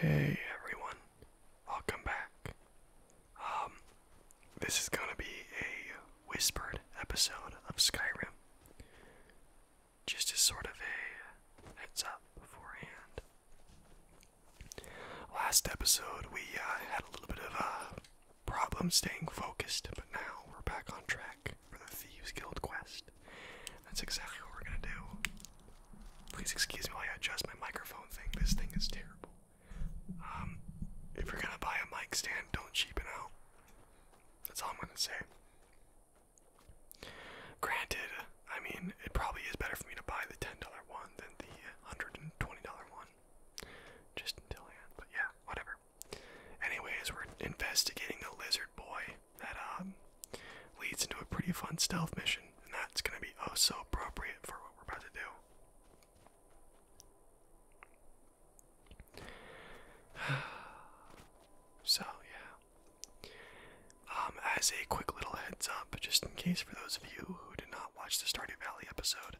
Hey everyone, welcome back. Um, this is gonna be a whispered episode of Skyrim. Just as sort of a heads up beforehand. Last episode, we uh, had a little bit of a uh, problem staying focused, but now we're back on track for the Thieves Guild quest. That's exactly what we're gonna do. Please excuse me while I adjust my microphone thing. This thing is terrible. Um, if you're gonna buy a mic stand, don't cheapen out. That's all I'm gonna say. Granted, I mean, it probably is better for me to buy the $10 one than the $120 one. Just until I end, but yeah, whatever. Anyways, we're investigating the lizard boy that um, leads into a pretty fun stealth mission, and that's going to be oh so appropriate for what we're about to do. so, yeah. Um, as a quick little heads up, just in case for those of you who did not watch the Stardew Valley episode,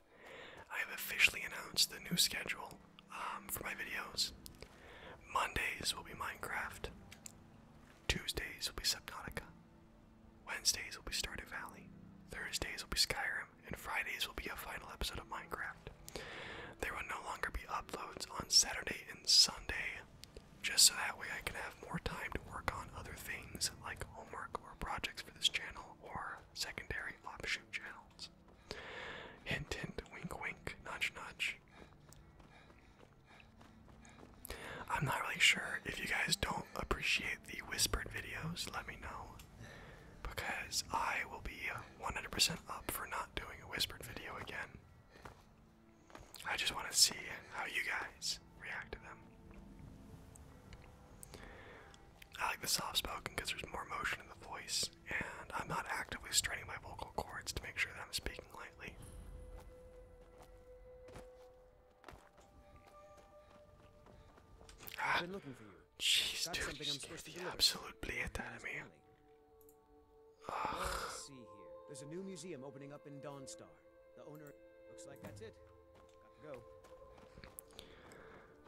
I have officially announced the new schedule um, for my videos. Mondays will be Minecraft. Tuesdays will be Subnautica. Wednesdays will be Stardew Valley. Thursdays will be Skyrim, and Fridays will be a final episode of Minecraft. There will no longer be uploads on Saturday and Sunday, just so that way I can have more time to work on other things like homework or projects for this channel or secondary offshoot channels. Hint, hint, wink, wink, nudge, nudge. I'm not really sure. If you guys don't appreciate the whispered videos, let me know. Because I will be 100% up for not doing a whispered video again. I just want to see how you guys react to them. I like the soft spoken because there's more emotion in the voice and I'm not actively straining my vocal cords to make sure that I'm speaking lightly. I've ah, been looking for you. Jeez, That's dude, you gave the absolute bleat out of me. Let's here. There's a new museum opening up in Dawnstar. The owner looks like that's it. Got to go.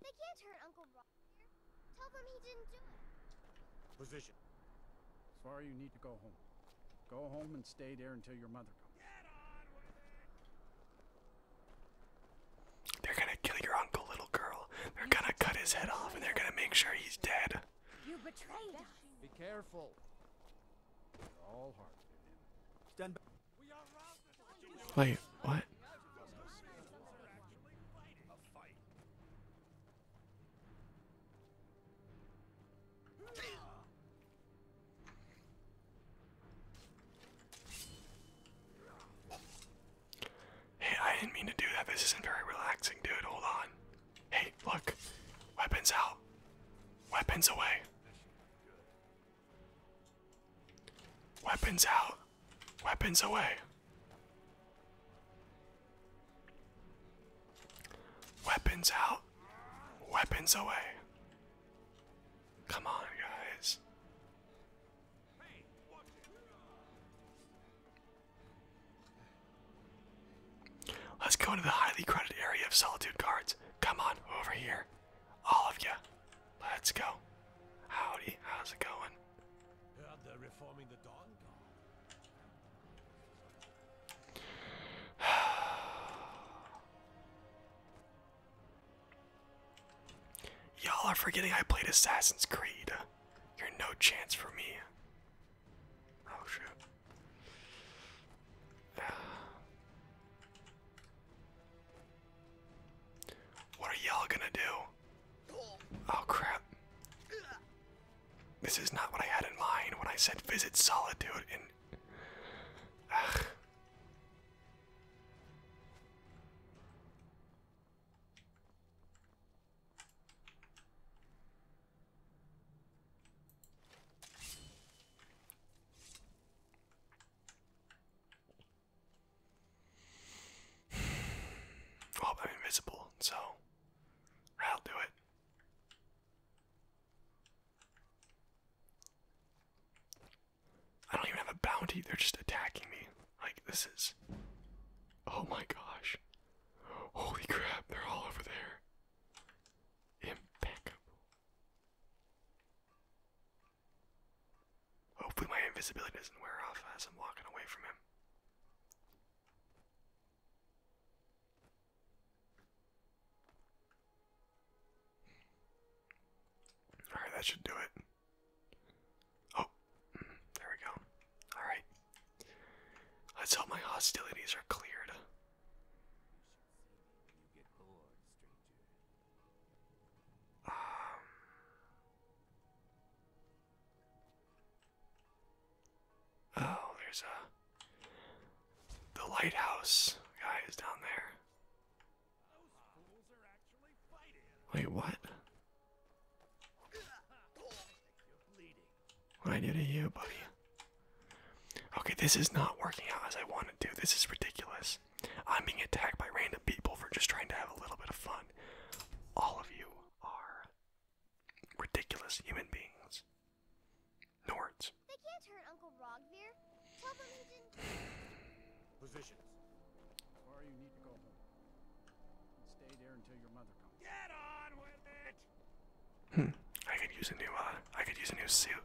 They can't hurt Uncle Rob Position. Svar, you need to go home. Go home and stay there until your mother comes. They're gonna kill your uncle, little girl. They're gonna cut his head off and they're gonna make sure he's dead. You betrayed Be careful. all heart. Stand Wait, what? Hey, I didn't mean to do that. This isn't very relaxing, dude. Hold on. Hey, look. Weapons out. Weapons away. Weapons out. Weapons away. Weapons out. Weapons away. Come on, guys. Let's go into the highly crowded area of Solitude Guards. Come on, over here. All of you. Let's go. Howdy, how's it going? Y'all are forgetting I played Assassin's Creed. You're no chance for me. Oh shit. What are y'all gonna do? Oh crap. This is not what I had in mind when I said visit solitude in. I'm invisible, so I'll do it. I don't even have a bounty, they're just attacking me. Like, this is. Oh my gosh. Holy crap, they're all over there. Impeccable. Hopefully my invisibility doesn't wear off as I'm walking away from him. Alright, that should do it. Oh, there we go. Alright. Let's hope my hostilities are cleared. Um, oh, there's a the lighthouse guy is down there. Wait, what? What I do to you, buddy? Okay, this is not working out as I wanted to. This is ridiculous. I'm being attacked by random people for just trying to have a little bit of fun. All of you are ridiculous human beings. Nords. They can't hurt Uncle Rogbeer. Positions. Or you need to go stay there until your mother comes. Get on with it. Hmm. I could use a new. Uh, I could use a new suit.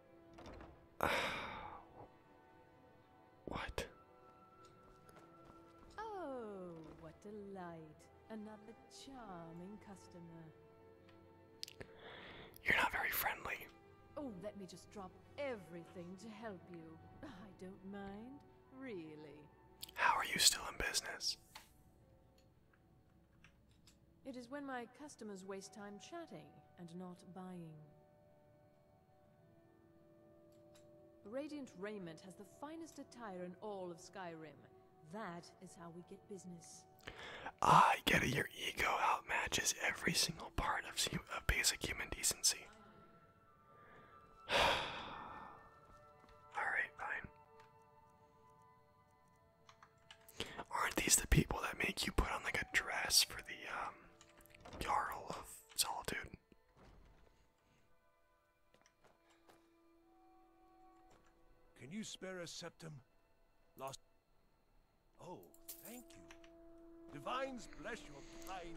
what? Oh, what delight. Another charming customer. You're not very friendly. Oh, let me just drop everything to help you. I don't mind, really. How are you still in business? It is when my customers waste time chatting and not buying. Radiant Raiment has the finest attire in all of Skyrim. That is how we get business. I ah, get it. Your ego outmatches every single part of, of basic human decency. Alright, fine. Aren't these the people that make you put on like a dress for the um Jarl of Solitude? Can you spare a septum? Lost. Oh, thank you. Divines bless your blind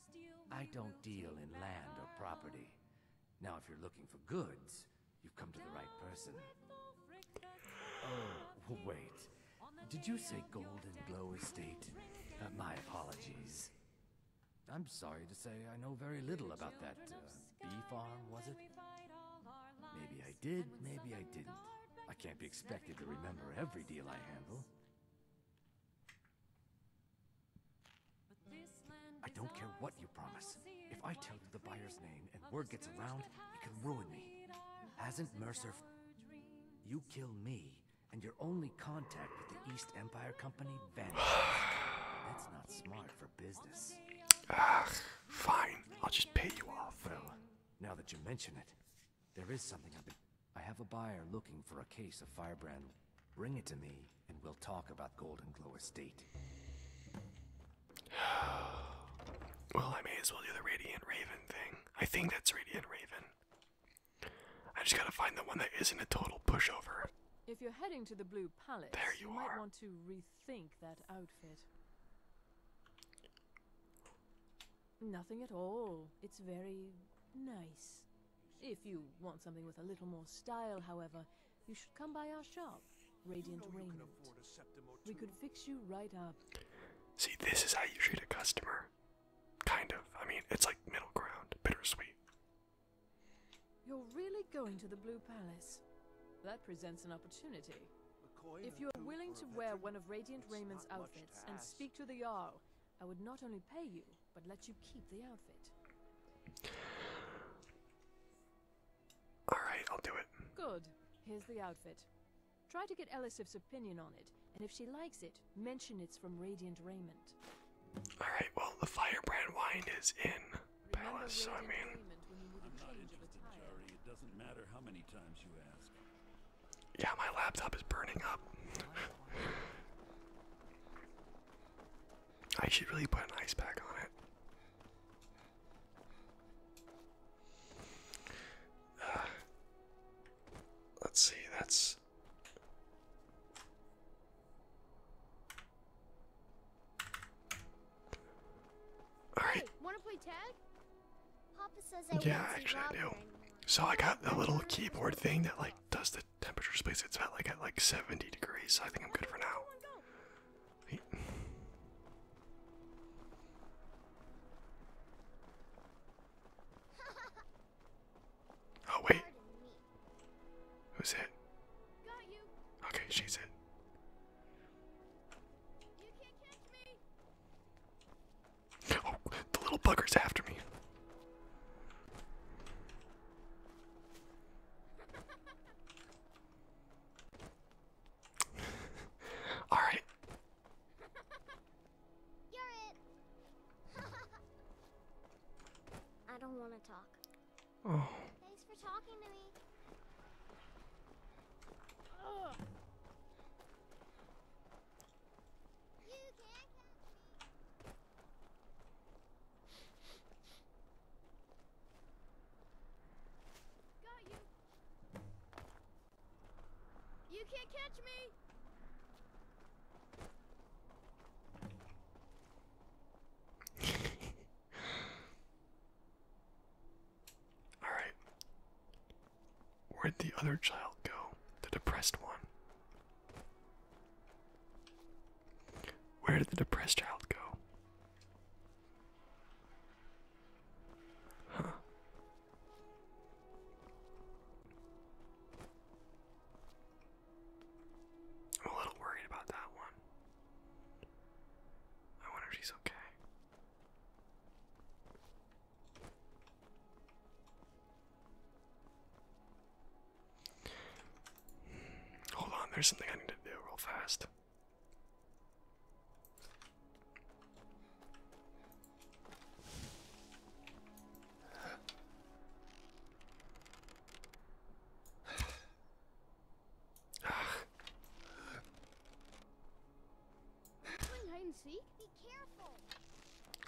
I don't deal in land or property. Now, if you're looking for goods, you've come to the right person. Oh, wait. Did you say Golden Glow Estate? Uh, my apologies. I'm sorry to say I know very little about that uh, bee farm, was it? Maybe I did, maybe I didn't. I can't be expected to remember every deal I handle. I don't care what you promise. If I tell you the buyer's name and word gets around, it can ruin me. Hasn't Mercer... You kill me, and your only contact with the East Empire Company vanishes. That's not smart for business. Ah, fine. I'll just pay you off. Well, now that you mention it, there is something I've been... I have a buyer looking for a case of firebrand. Bring it to me, and we'll talk about Golden Glow Estate. well, I may as well do the Radiant Raven thing. I think that's Radiant Raven. I just gotta find the one that isn't a total pushover. If you're heading to the Blue Palace, there you, you might want to rethink that outfit. Nothing at all. It's very nice. If you want something with a little more style, however, you should come by our shop, Radiant Raymonds. We could fix you right up. See, this is how you treat a customer. Kind of. I mean, it's like middle ground, bittersweet. You're really going to the Blue Palace. That presents an opportunity. If you are willing to wear one of Radiant Raymond's outfits and speak to the Jarl, I would not only pay you, but let you keep the outfit. Alright, I'll do it. Good. Here's the outfit. Try to get Elisif's opinion on it, and if she likes it, mention it's from Radiant Raiment. Alright, well, the firebrand wine is in Palace, I mean. Yeah, my laptop is burning up. I should really put an ice pack on it. Uh, let's see, that's. Alright. wanna play tag? yeah, actually I do. So I got a little keyboard thing that like does the temperature space. It's about like at like 70 degrees. I think I'm good for now. Oh wait. Who's it? Okay, she's it the little bugger's after me. All right. You're it. I don't want to talk. Oh. me. Got you. You can't catch me. All right. Where'd the other child go? The depressed one. Where did the depressed child go? Huh. I'm a little worried about that one. I wonder if she's okay. Hold on, there's something I need to do real fast.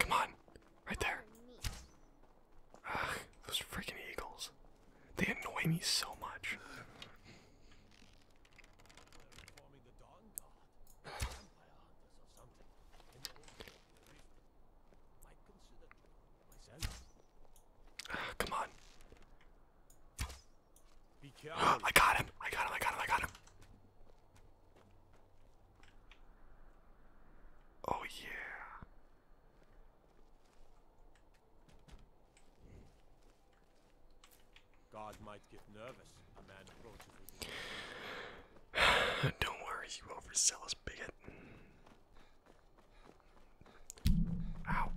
Come on. Right there. Ugh, those freaking eagles. They annoy me so much. come on. I got him. I got him. I got him. I got him. Oh, yeah. God might get nervous. A man approaches with Don't worry, you overzealous bigot. Out.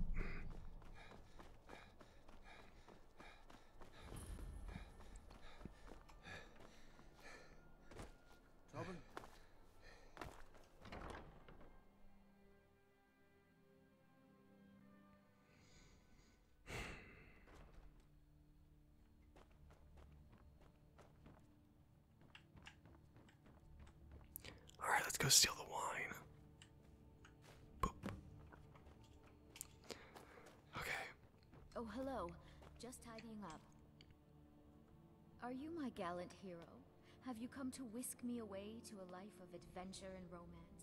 All right, let's go steal the wine. Okay. Oh, hello. Just tidying up. Are you my gallant hero? Have you come to whisk me away to a life of adventure and romance?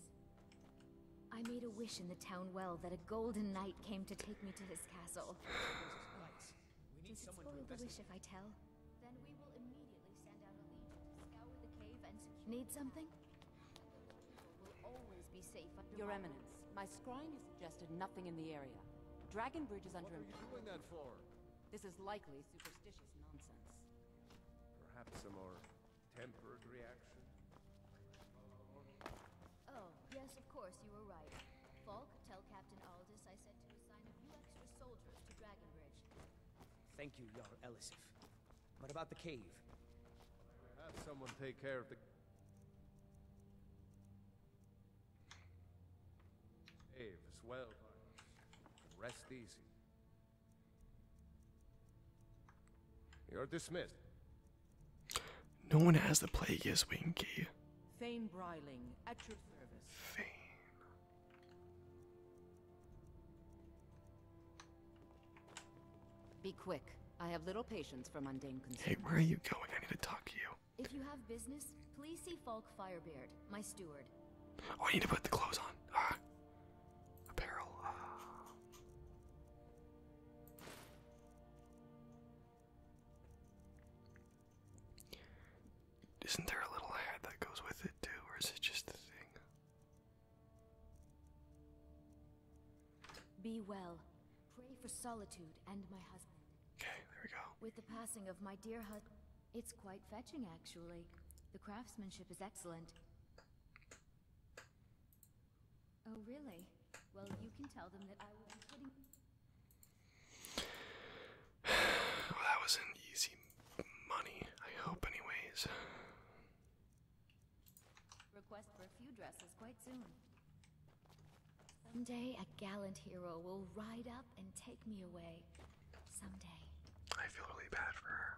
I made a wish in the town well that a golden knight came to take me to his castle. Does it spoil the wish if I tell? Then we will immediately send out a legion to scour the cave and secure... Need something? Your Eminence, my scrying has suggested nothing in the area. Dragon Bridge is under What are you doing that for? This is likely superstitious nonsense. Perhaps a more tempered reaction? Oh, yes, of course, you were right. Falk, tell Captain Aldous I said to assign a few extra soldiers to Dragon Bridge. Thank you, Jarl Elisif. What about the cave? Have someone take care of the Aves, well, rest easy. You're dismissed. No one has the plague, as Winky. Thane Bryling, at your service. Thane. Be quick. I have little patience for mundane concerns. Hey, where are you going? I need to talk to you. If you have business, please see Falk Firebeard, my steward. Oh, I need to put the clothes on. Ah, apparel. Ah. Isn't there a little hat that goes with it too, or is it just the thing? Be well. Pray for solitude and my husband. Okay, there we go. With the passing of my dear husband, it's quite fetching, actually. The craftsmanship is excellent. Oh, really? Well, you can tell them that I will be putting... that was an easy money, I hope, anyways. Request for a few dresses quite soon. Someday a gallant hero will ride up and take me away. Someday. I feel really bad for her.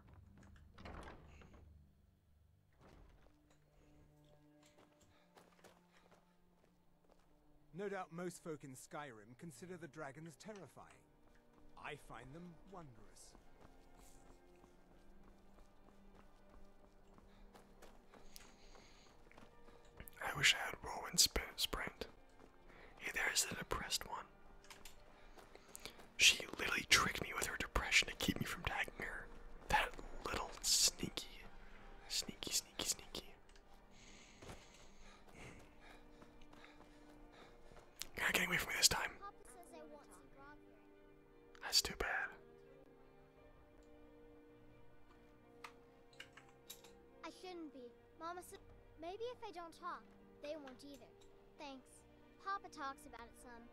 No doubt most folk in Skyrim consider the dragons terrifying. I find them wondrous. I wish I had whirlwind sp sprint. Hey, there's the depressed one. She literally tricked me with her depression to keep me from tagging her. That little sneaky, sneaky, sneaky, sneaky. You're not getting away from me this time. That's too bad. I shouldn't be. Mama said, maybe if I don't talk, they won't either. Thanks. Papa talks about it some.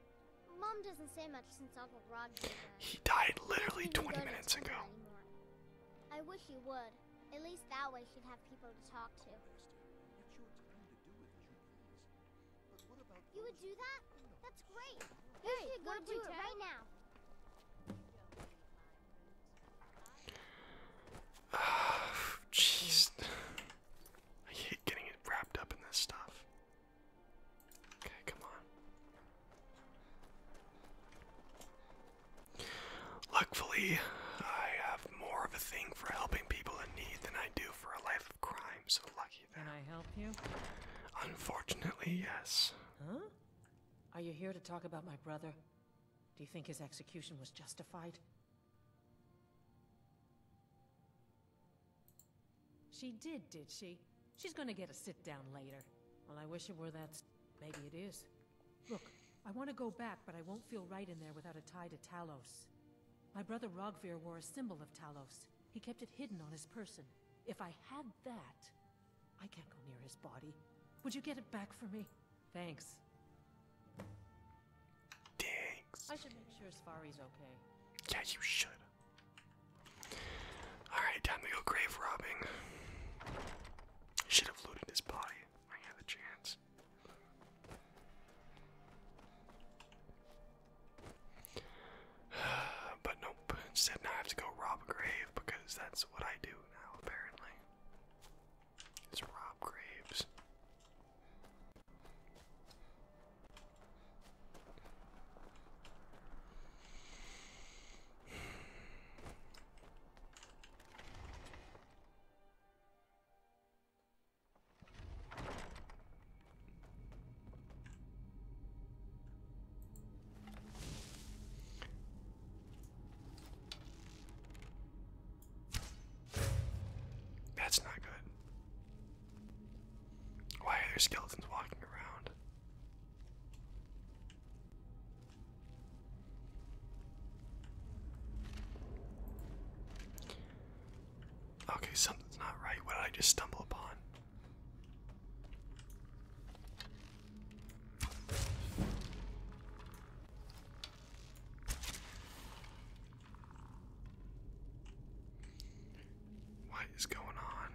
Mom doesn't say much since Uncle Roger died. He died literally 20 minutes ago. I wish he would. At least that way she'd have people to talk to. You would do that? That's great. Hey, you should go do it right now. Jeez. I hate getting wrapped up in this stuff. Okay, come on. Luckily, I have more of a thing for helping people in need than I do for a life of crime, so lucky can I help you? Unfortunately, yes. Huh? Are you here to talk about my brother? Do you think his execution was justified? She did, did she? She's gonna get a sit-down later. Well, I wish it were that... Maybe it is. Look, I want to go back, but I won't feel right in there without a tie to Talos. My brother Rogvir wore a symbol of Talos. He kept it hidden on his person. If I had that... I can't go near his body. Would you get it back for me? Thanks. Thanks. I should make sure Sfari's okay. Yeah, you should. Alright, time to go grave robbing. Should have looted his body. I had a chance. But nope, instead now I have to go rob a grave because that's what I do now, apparently. It's rob graves. That's not good. Why are there skeletons walking around? Okay, something's not right. What did I just stumble upon? What is going on?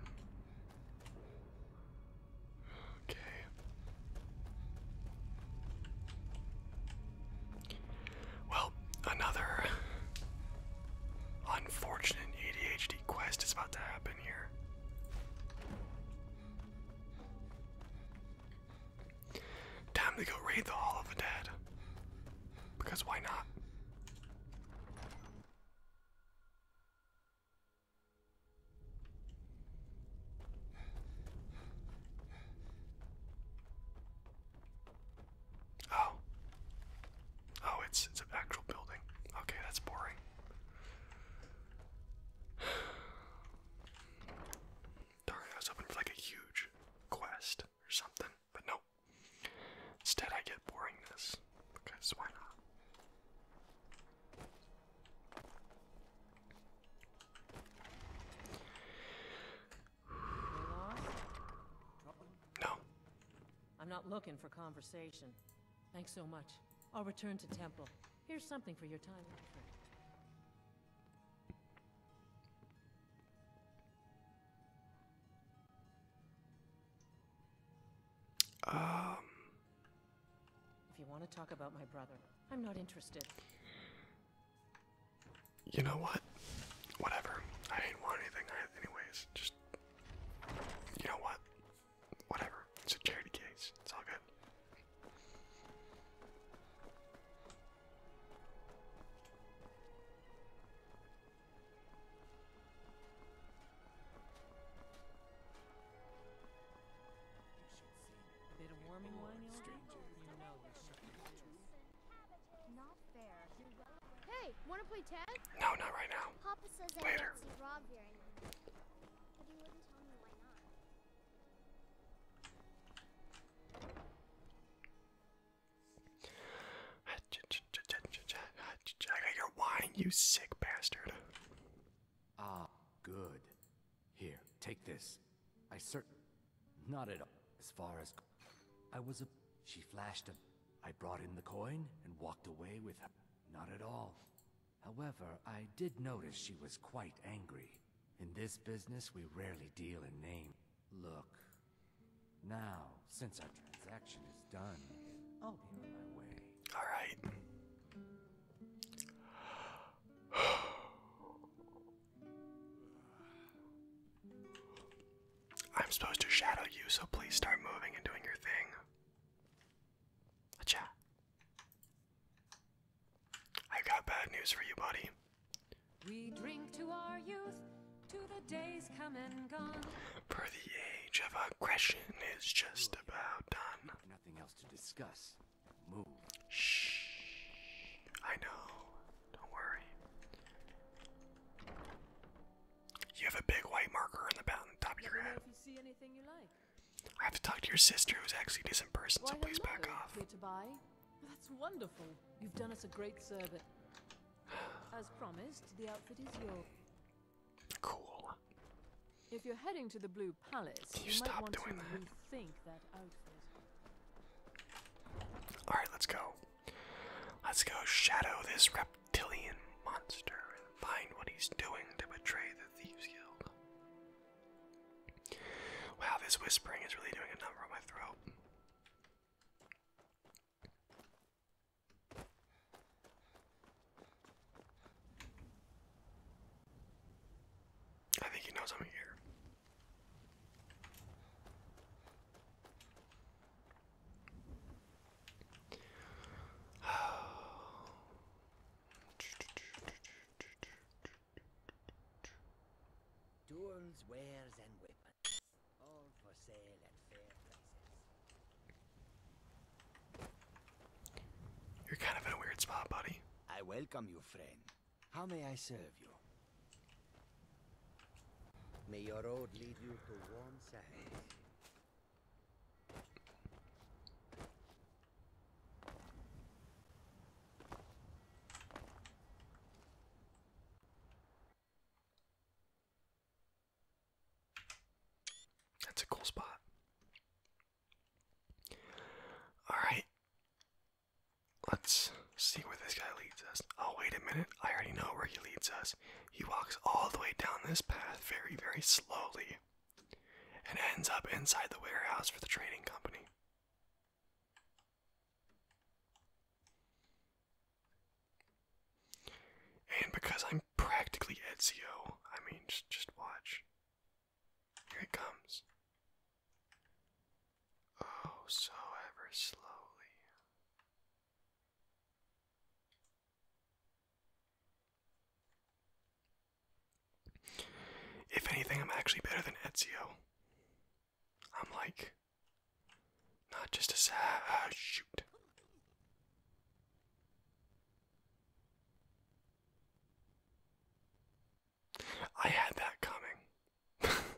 Okay. Well, another unfortunate ADHD quest is about to happen here. Time to go raid the Hall of the Dead. Because why not? Oh. Oh, it's it's an actual building. Okay, that's boring. Darn, I was hoping for like a huge quest or something, but no. Instead, I get boringness because why not? No, I'm not looking for conversation. Thanks so much. I'll return to temple. Here's something for your time Um. If you want to talk about my brother, I'm not interested. You know what? Whatever. I did want anything anyways. Just you know what? Whatever. It's a charity case. It's all good. Bit not fair. Hey, wanna play tag? No, not right now. Papa says Later. I can't see Rob you sick bastard. Ah, good. Here, take this. I certain not at all. As far as I was a... She flashed a. I brought in the coin and walked away with her. Not at all. However, I did notice she was quite angry. In this business, we rarely deal in name. Look. Now, since our transaction is done, I'll be on my way. All right. I'm supposed to shadow you, so please start moving and doing your thing. Acha. I got bad news for you, buddy. We drink to our youth, to the days come and gone. For the age of aggression is just about done. Nothing else to discuss. Move. Shh. I know. Don't worry. You have a big white marker on the top of your head. I have to talk to your sister, who's actually a decent person, so please back off. That's wonderful. You've done us a great service. As promised, the outfit is yours. Cool. If you're heading to the Blue Palace, you, you might want to that? rethink that outfit. All right, let's go. Let's go shadow this reptilian monster and find what he's doing to betray the Thieves Guild. Wow, this whispering is really doing a number on my throat. I think he knows I'm here. Tools, wares, and weapons. All for sale at fair prices. You're kind of in a weird spot, buddy. I welcome you, friend. How may I serve you? May your road lead you to warm sands. That's a cool spot. All right. Let's see where this guy leads us. Oh, wait a minute. I already know where he leads us. He walks all the way down this path very, very slowly and ends up inside the warehouse for the trading company. And because I'm practically Ezio, I mean, just, just watch. Here he comes. Oh, so ever slowly. If anything, I'm actually better than Ezio. I'm like, not just a sad ah, shoot. I had that coming.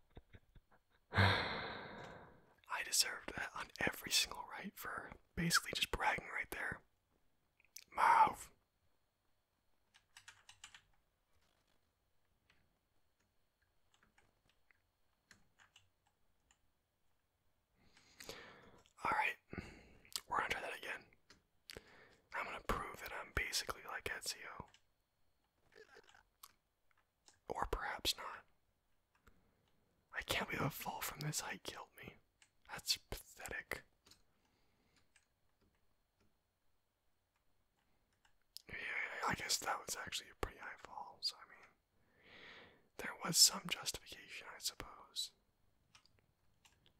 I deserved that on every single right for basically just bragging right there. Mouth. Alright, we're gonna try that again. I'm gonna prove that I'm basically like Ezio. Or perhaps not. I can't believe a fall from this height killed me. That's pathetic. Yeah, I guess that was actually a pretty high so I mean, there was some justification, I suppose.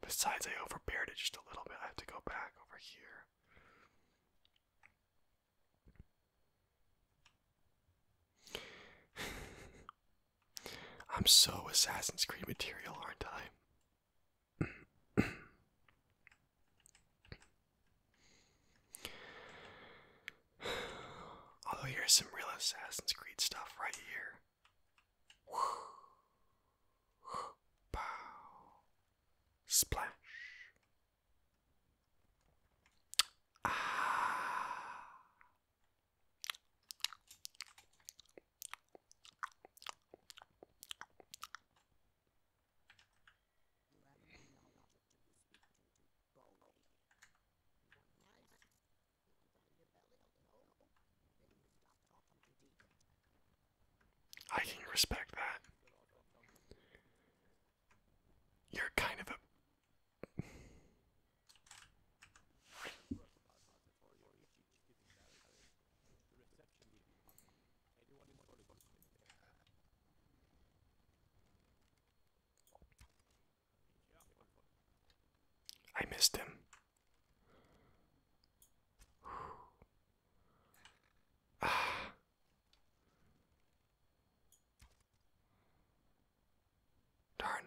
Besides, I overbeared it just a little bit. I have to go back over here. I'm so Assassin's Creed material, aren't I? Although here's some real Assassin's Creed stuff right here. Splash. I can respect that. You're kind of a. I missed him. Ah. Darn.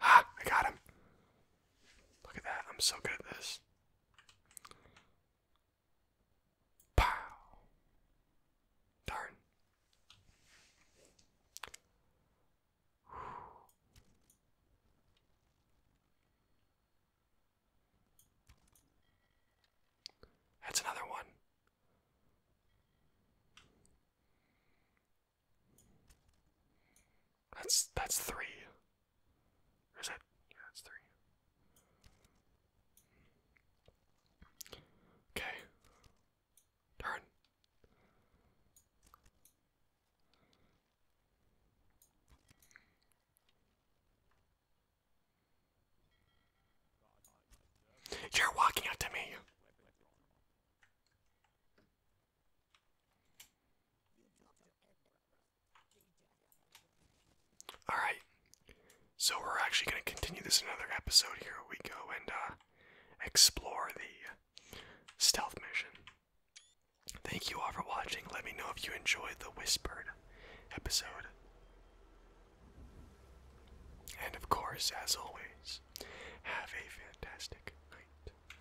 Ah, I got him. Look at that. I'm so good at this. Darn. That's another one. That's that's three. is it? Yeah, that's three. Okay. Darn. You're walking up to me. Alright. So we're actually going to continue this another episode here. We go and uh, explore the stealth mission. Thank you all for watching. Let me know if you enjoyed the Whispered episode. And of course, as always, have a fantastic night.